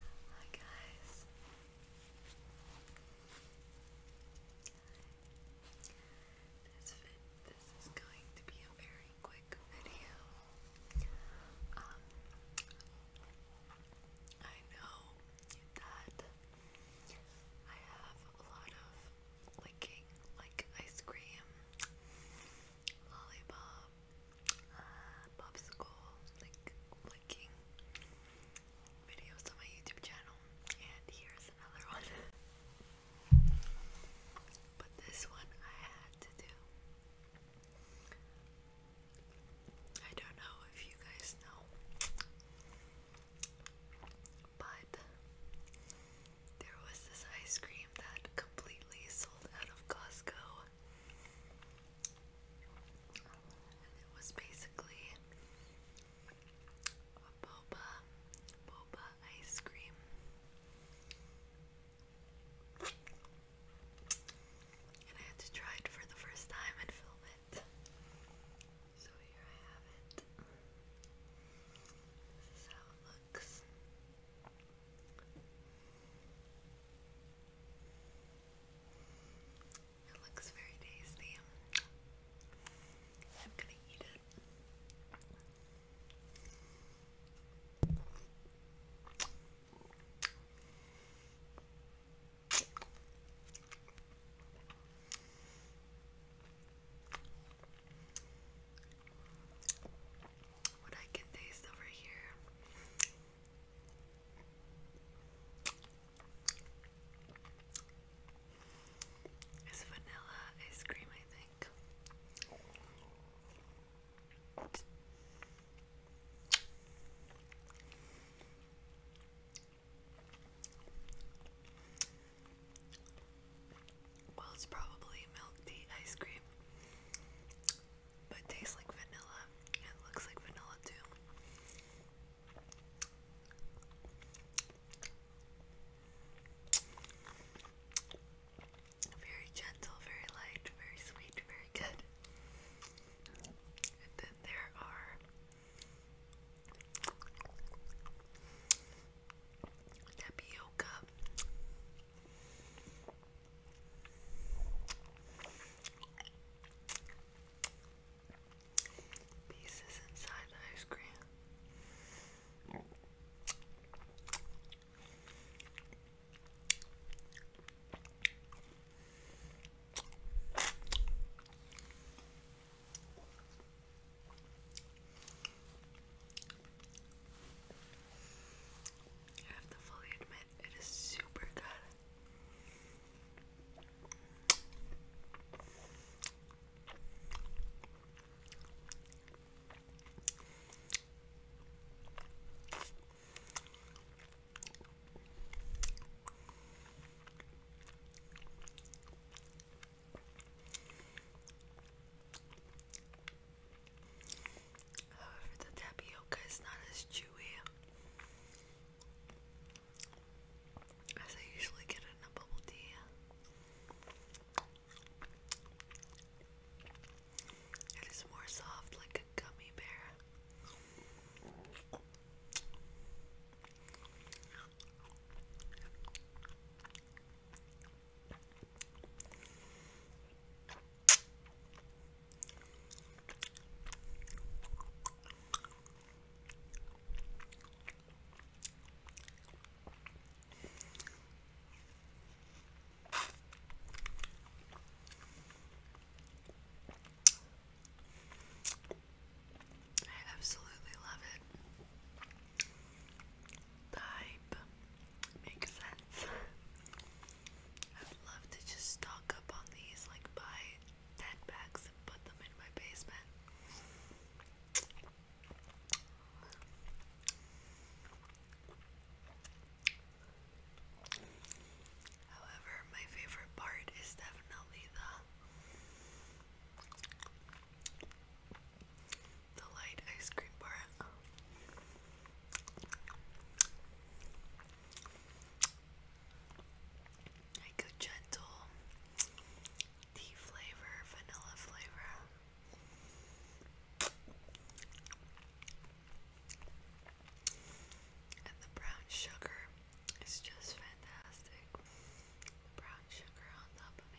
Hi guys. This is going to be a very quick video. Um, I know that I have a lot of licking, like ice cream, lollipop, uh, popsicle licking videos on my YouTube channel, and here's another one. but this one I had to do. I don't know if you guys know, but there was this ice cream that completely sold out of Costco it was basically a boba, boba ice cream. And I had to try it for the first time and film it. So here I have it. This is how it looks. It looks very tasty. I'm gonna eat it. What I can taste over here it's vanilla ice cream, I think. Well, it's probably milk tea ice cream but it tastes like vanilla. It looks like vanilla too. Very gentle, very light, very sweet, very good. And then there are tapioca Pieces inside the ice cream. I have to fully admit, it is super good. However, the tapioca is not as chewy as I usually get in a bubble tea. It is more soft, like a gummy bear. I absolutely love it type makes sense. I'd love to just stock up on these, like buy 10 packs and put them in my basement. However, my favorite part is definitely the the light ice cream bar. I go gentle tea flavor, vanilla flavor. And the brown sugar is just fantastic. brown sugar on top of me.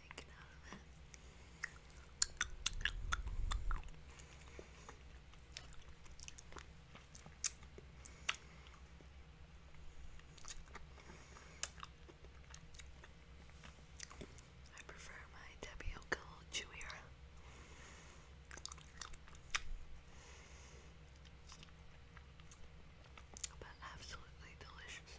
shaken out I prefer my tapioca chewier but absolutely delicious.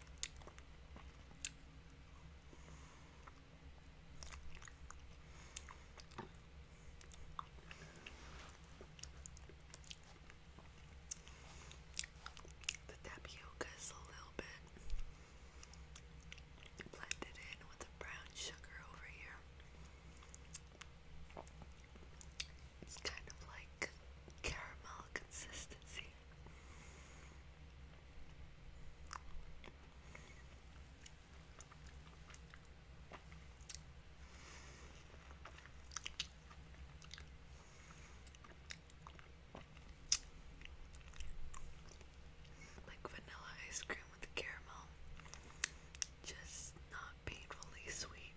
The tapioca is a little bit blended in with the brown sugar over here. It's kind of like caramel consistency. Like vanilla ice cream with caramel, just not painfully sweet.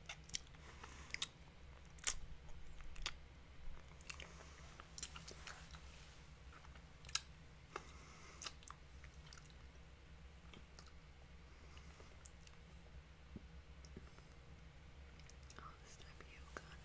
All this tapioca on a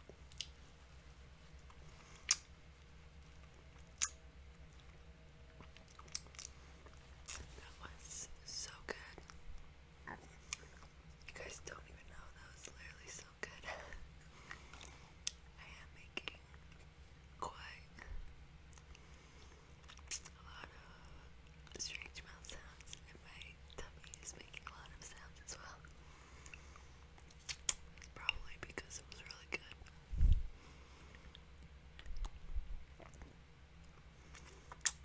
That was so good. You guys don't even know that was literally so good. I am making quite a lot of strange mouth sounds, and my tummy is making a lot of sounds as well. Probably because it was really good.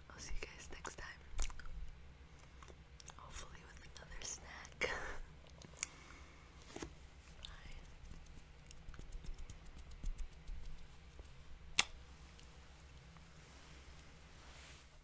I'll see you guys next time. Hopefully, with another snack. Bye.